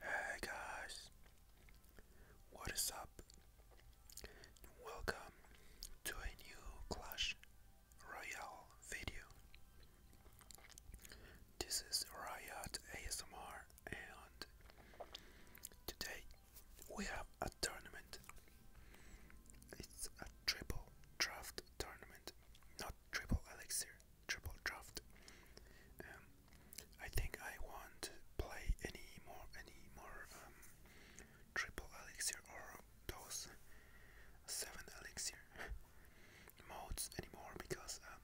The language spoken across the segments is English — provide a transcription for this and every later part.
Hey guys, what is up? Welcome to a new Clash Royale video. This is Riot ASMR, and today we have a tournament. It's a triple draft tournament, not triple elixir, triple draft. Um, I think I won't play any more, any more um, triple elixir or those seven elixir modes anymore because um,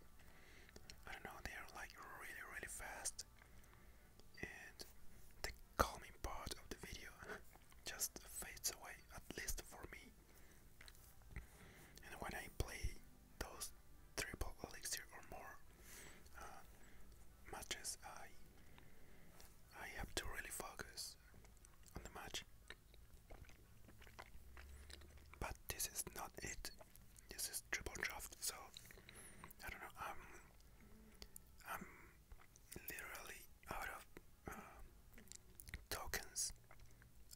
I don't know they are like really really fast and the calming part of the video just fades away at least for me. And when I play those triple elixir or more uh, matches, I I have to really focus on the match. But this is not it. This is triple draft, so I don't know. I'm I'm literally out of uh, tokens.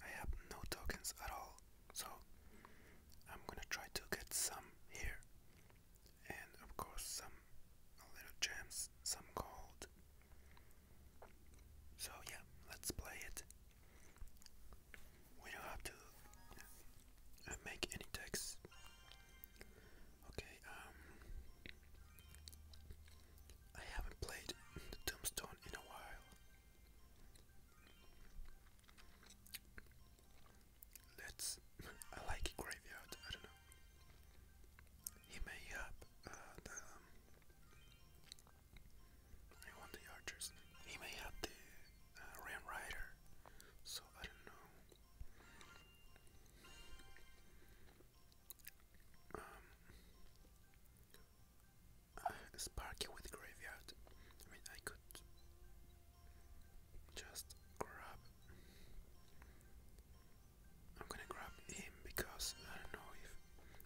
I have no tokens at all. So I'm gonna try to get some here, and of course, some little gems, some gold. So, yeah, let's play it. We don't have to uh, make any text. Okay, um, I haven't played the Tombstone in a while. Let's. I like graveyard. I don't know. He may have uh, the. Um, want the archers. He may have the uh, Ram Rider. So I don't know. Um, Sparky with graveyard. I mean, I could just grab. I'm gonna grab him because I don't know if.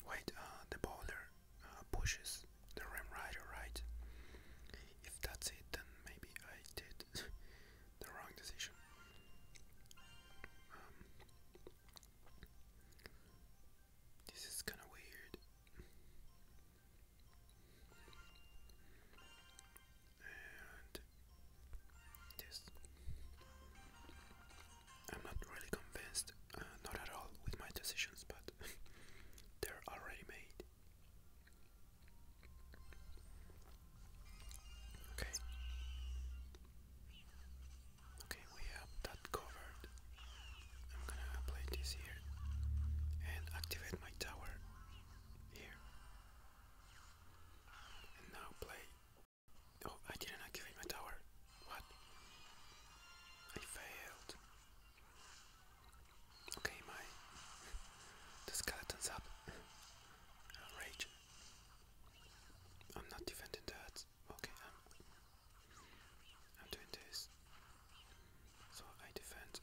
Wait, uh, the bowler uh, pushes the Ram Rider, right? If that's it, then maybe I did the wrong decision. Um, this is kind of weird. And this. I'm not really convinced, uh, not at all, with my decisions, but they're already made. Okay. Okay, we have that covered. I'm gonna play this here and activate my tower here. And now play. Oh, I didn't activate my tower. What? I failed. Okay, my. the skeleton's up. i I'm not defending that. Okay, I'm, um, I'm doing this. So I defend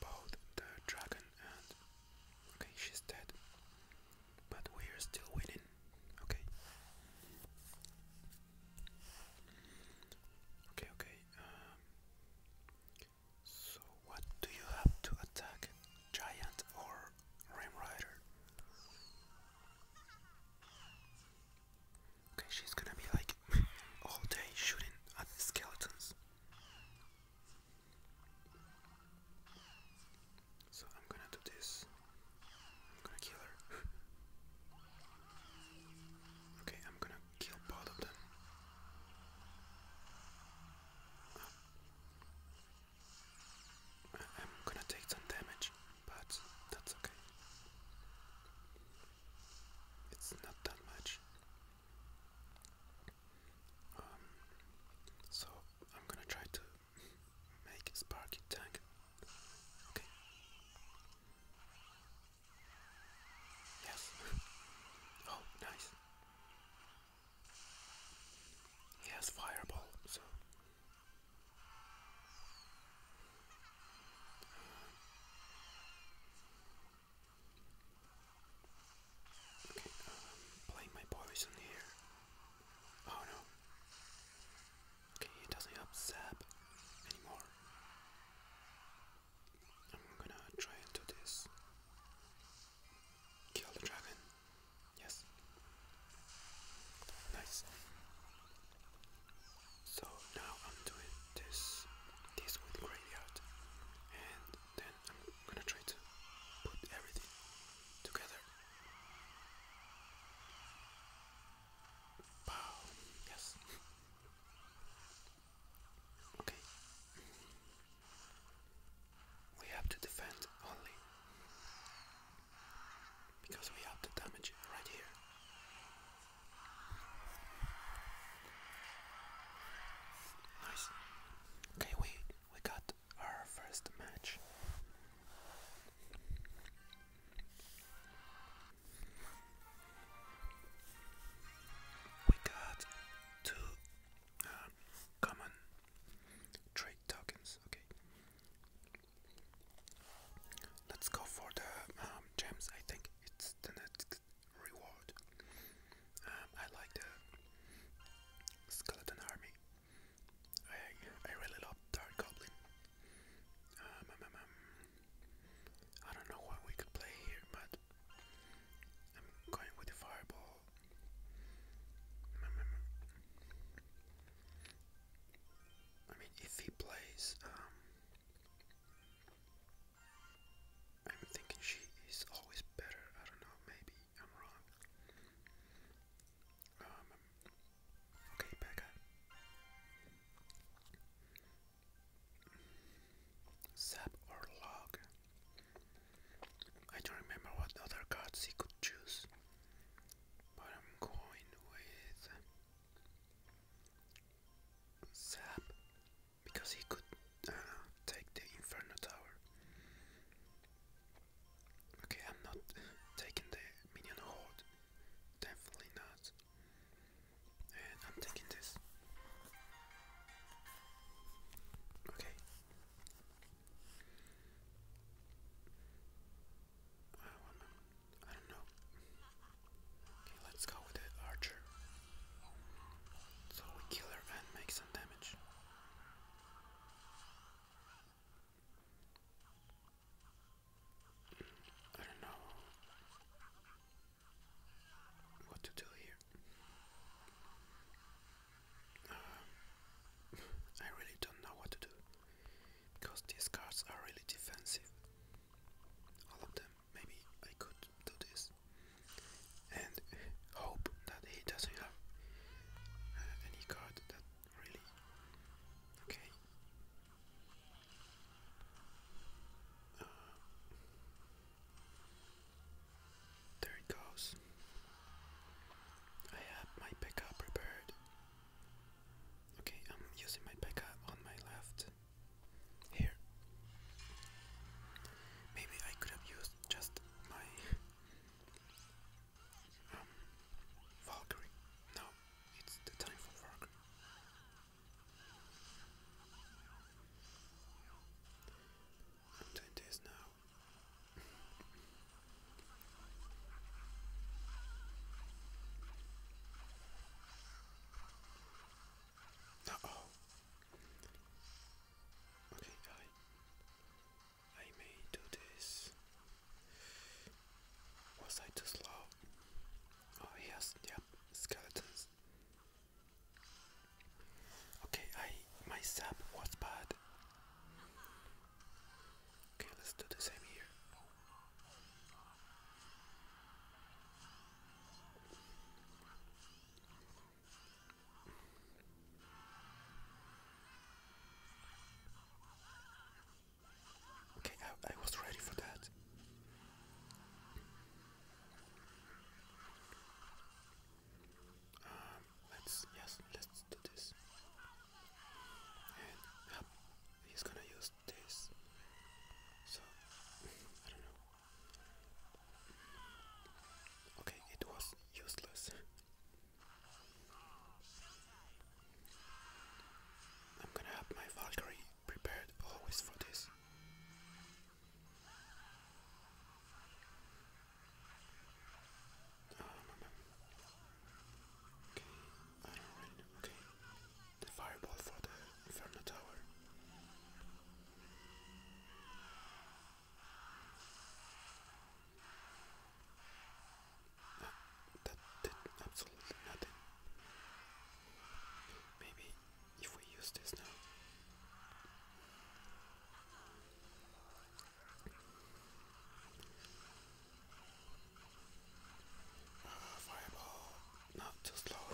both the dragon and okay, she's dead, but we are still winning. Okay. Okay, okay. Um, so, what do you have to attack? Giant or Ram Rider. Okay, she's gonna be like all day shooting at the skeletons. So I'm gonna do this. I'm gonna kill her. okay, I'm gonna kill both of them. I'm gonna take some damage, but that's okay. It's not that much. Um, so I'm gonna try to make Sparky tank. Okay. Yes. oh, nice. He has fireball, Okay, um, playing my poison here. Oh no. Okay, he doesn't have sap anymore. I'm gonna try and do this. Kill the dragon. Yes. Nice. So now I'm doing this this with graveyard and then I'm gonna try to put everything together. Wow, yes. Okay. We have to defend only because we have the damage right here. Nice. Okay, we we got our first match. We got two uh, common trade tokens. Okay, Let's go for the um, gems. I think it's the next reward. Um, I like the skeleton army. I I really love Dark Goblin. Um, I don't know what we could play here, but I'm going with the fireball. I mean, if he plays, um, I'm thinking she is always better. I don't know, maybe I'm wrong. Um, okay, Becca. Sap or log? I don't remember what other cards he could choose but I'm going with Zap because he could uh, take the Inferno Tower. Okay, I'm not taking the minion horde, definitely not. And I'm taking this. Okay, I don't know. let's go with the archer. So we kill her and make some damage. I don't know what to do here. Um, I really don't know what to do because these cards are really defensive. All of them. Maybe I could do this and hope that he doesn't have uh, any card that really. Okay. Uh, there it goes. I have my pickup prepared. Okay, I'm using my pickup on my left here. Maybe I could have used just my um, Valkyrie. No, it's the time for Valkyrie. I'm doing this now. Uh oh. Okay, I I may do this. Was I too slow? Oh yes, yep, skeletons. Okay, I my sap was bad. Okay, let's do the same here. Okay, I, was ready for that. Um, let's yes, let's do this. And he's gonna use this. So I don't know. Okay, it was useless. I'm gonna have my Valkyrie prepared always for this. Okay, The fireball for the Inferno Tower. that did absolutely nothing. Maybe if we use this now. Uh, fireball, not too slow.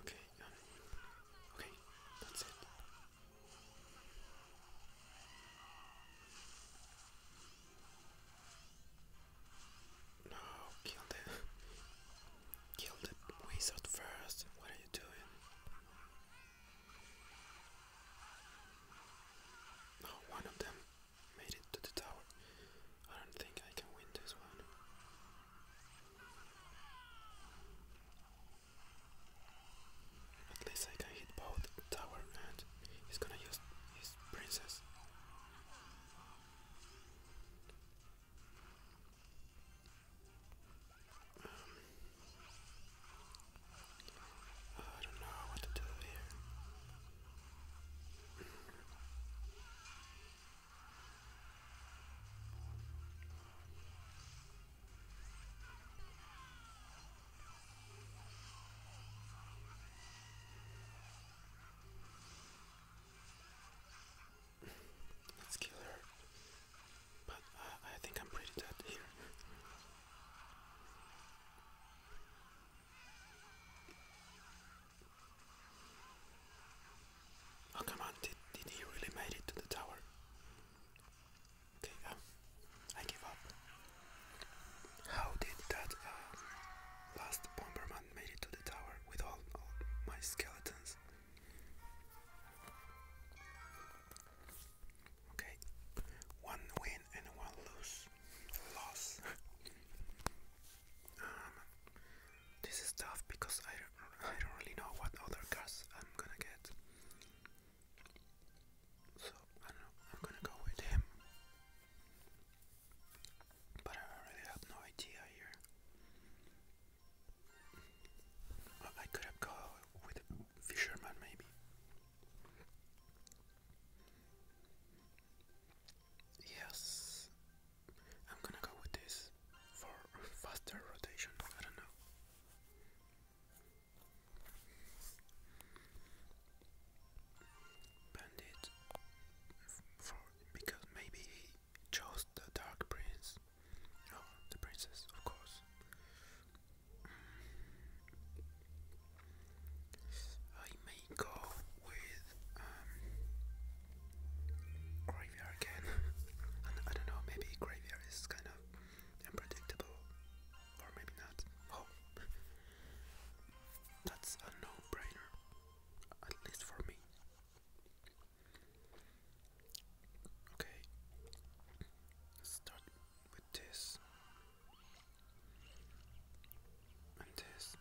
Okay, um, okay, that's it. No, kill the kill the wizard first. What are you doing? No, of them made it to the tower. I don't think I can win this one. At least I can hit both tower and he's gonna use his princess. Um, I don't know what to do here. Let's kill her. But I think I'm pretty dead here. Oh come on, did he really made it to the tower? Okay, um, I give up. How did that uh, last bomberman made it to the tower with all, my skeletons? Okay, one win and one lose. Loss. um, this is tough because I I don't really know what other cars I'm gonna get. So I am gonna go with him. But I really have no idea here. I could have gone with a fisherman maybe. Yes, I'm gonna go with this for faster rotation. I don't know. Bandit for because maybe he chose the Dark Prince. Oh, the princess, of course. I may go with um, Graveyard again. I don't know, maybe Graveyard is kind of and or maybe not. Oh, that's a no-brainer, at least for me. Okay, start with this and this.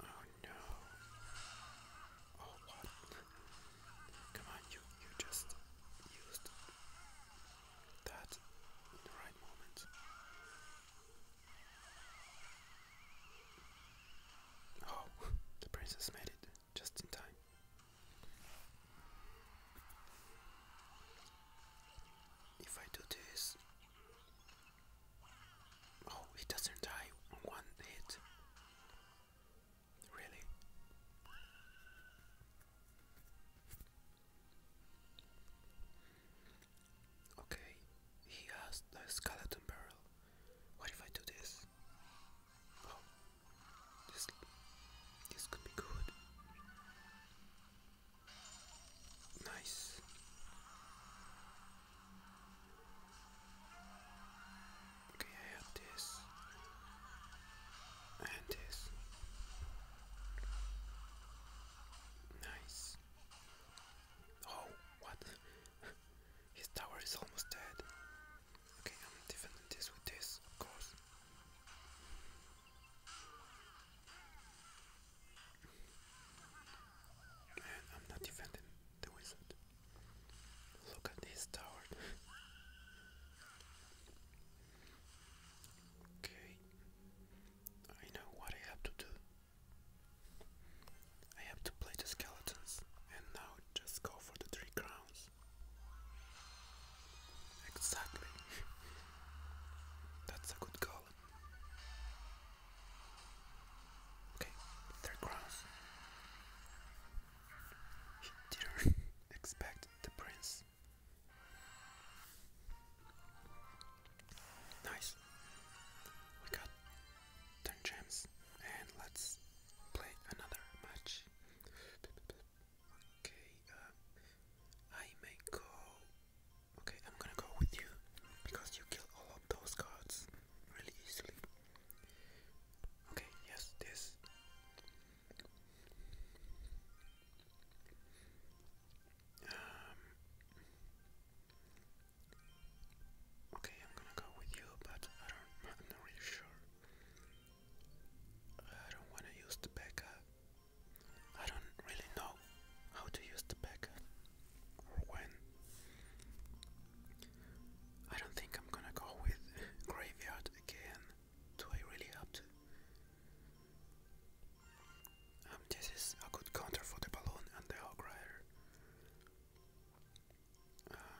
Oh no. Oh what? Come on, you you just used that in the right moment. Oh, the princess made it just in time. If I do this, Oh, he doesn't die on one hit. Really? Okay, he has the skeleton barrel. What if I do this? Oh, this, this could be good. Nice. Okay, I have this and this. Nice. Oh, what? His tower is almost dead. Okay, I'm defending this with this, of course. I'm not defending the wizard. Look at this tower. okay. I know what I have to do. I have to play the skeletons and now just go for the three crowns. Exactly. That's a good goal. Okay, third cross. He didn't expect the prince. Nice. We got 10 gems and let's play another match. Okay, uh, I may go Okay, I'm gonna go with you because you kill all of those cards really easily. Okay, yes, this. Um, okay, I'm gonna go with you, but I don't. I'm not really sure. I don't want to use the backup I don't really know how to use the pack or when. I don't think I'm gonna go with graveyard again. Do I really have to? I'm. Um, this is a good counter for the balloon and the hog rider. Um,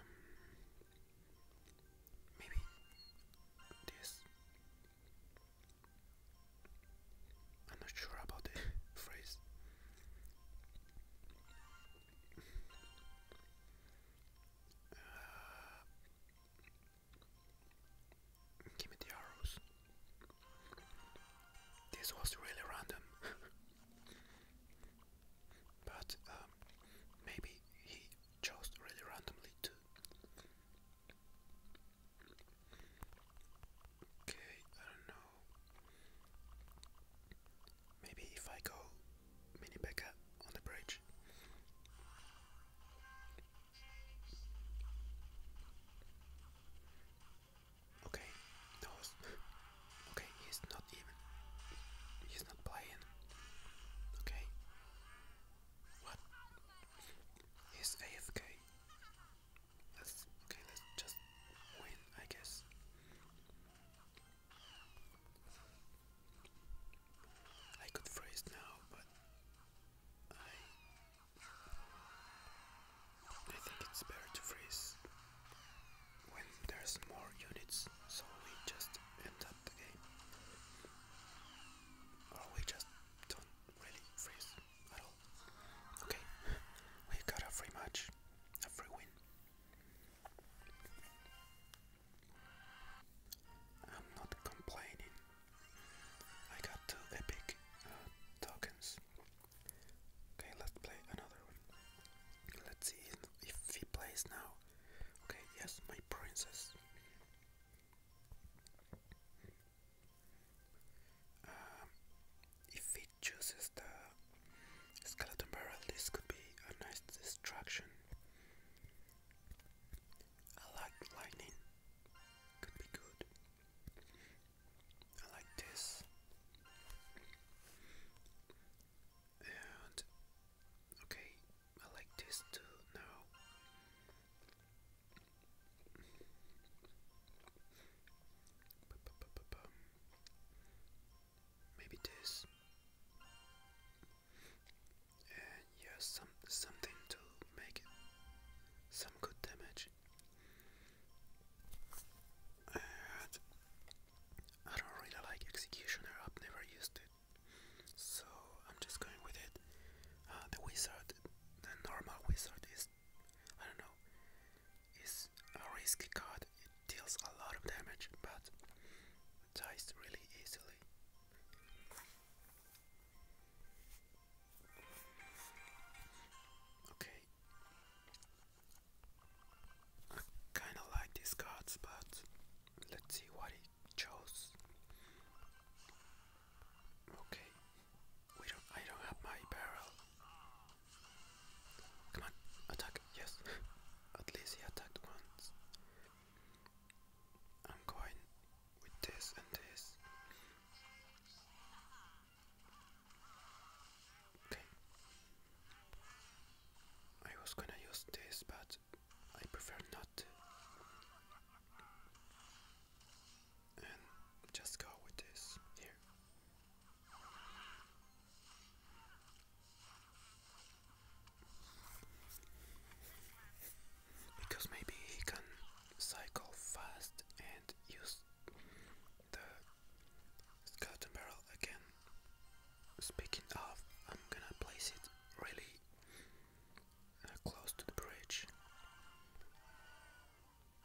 maybe this. I'm not sure about the phrase. Uh, give me the arrows. This was really random. but um, maybe he chose really randomly to Okay, I don't know. Maybe if I go mini Becca on the bridge. Okay, no, okay, he's not even, he's not playing. Okay, what? He's AFK. Let's okay, let's just win, I guess. I could freeze now, but I think it's better to freeze when there's more units, so we just end up the game. Or we just don't really freeze at all. Okay, we got a free match, a free win. I'm not complaining. I got two epic uh, tokens. Okay, let's play another one. Let's see if he plays now. Okay, yes, my princess. Um, if it chooses the skeleton barrel, this could be a nice distraction. I like lightning, could be good. I like this. And okay, I like this too now. Maybe this. And some something to make it some good damage. I don't really like executioner. I've never used it, so I'm just going with it. Uh, the wizard, the normal wizard, is I don't know. It's a risky card. It deals a lot of damage, but dies really easily. Okay. I kind of like these cards, but let's see what he chose. Okay, we don't. I don't have my barrel. Come on, attack! Yes, at least he attacked once. I'm going with this and this. Okay. I was gonna use this, but I prefer not and just go with this here. Because maybe he can cycle fast and use the skeleton barrel again. Speaking of, I'm gonna place it really close to the bridge.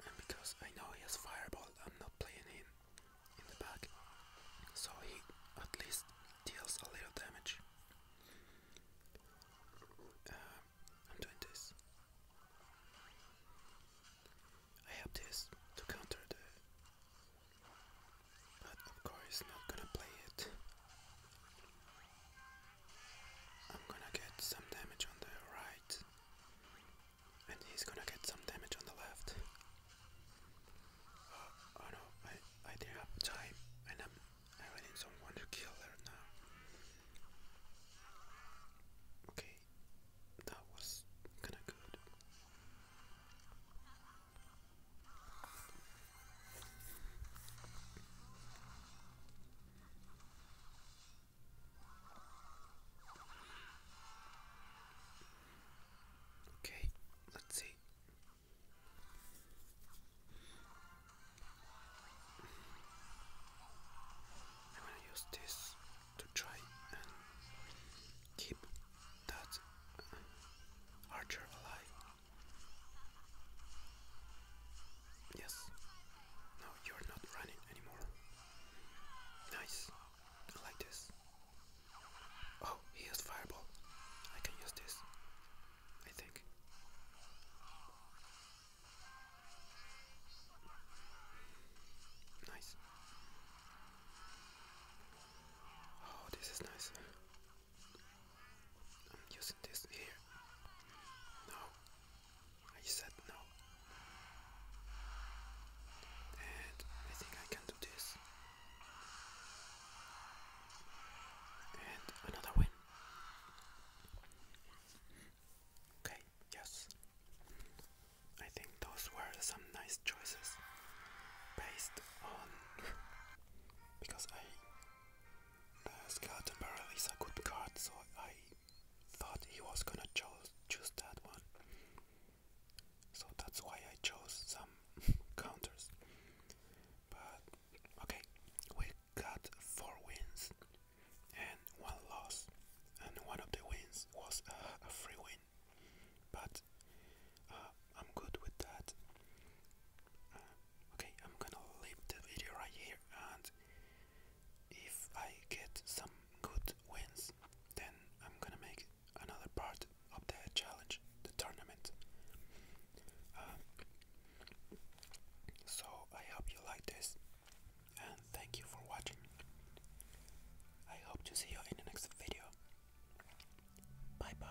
And because I know he has fireball, I'm not playing him in the back, so he at least deals a little damage. Uh, I'm doing this. I have this to counter the. But of course, not gonna play it. I'm gonna get some damage on the right, and he's gonna get some damage on the left. Oh, no, I I didn't have time, and I'm I really need to kill her now. Okay, that was kinda good. Okay, let's see. I'm gonna use this to try and keep that uh, archer alive. Yes, no, you're not running anymore. Nice. I like this. Oh, he used fireball. I can use this. I think. Nice. Oh, this is nice. I'm using this here. No, I said no. And I think I can do this. And another win. Okay, yes. I think those were some nice choices based on because I uh, Scout apparently, Barrel is a good card, so I thought he was gonna cho choose that one. So that's why I chose some counters. But okay, we got four wins and one loss, and one of the wins was a free win. But uh, I'm good with that. Uh, okay, I'm gonna leave the video right here and if I get some good wins, then I'm gonna make another part of the challenge, the tournament. Um, so I hope you like this, and thank you for watching. I hope to see you in the next video. Bye bye.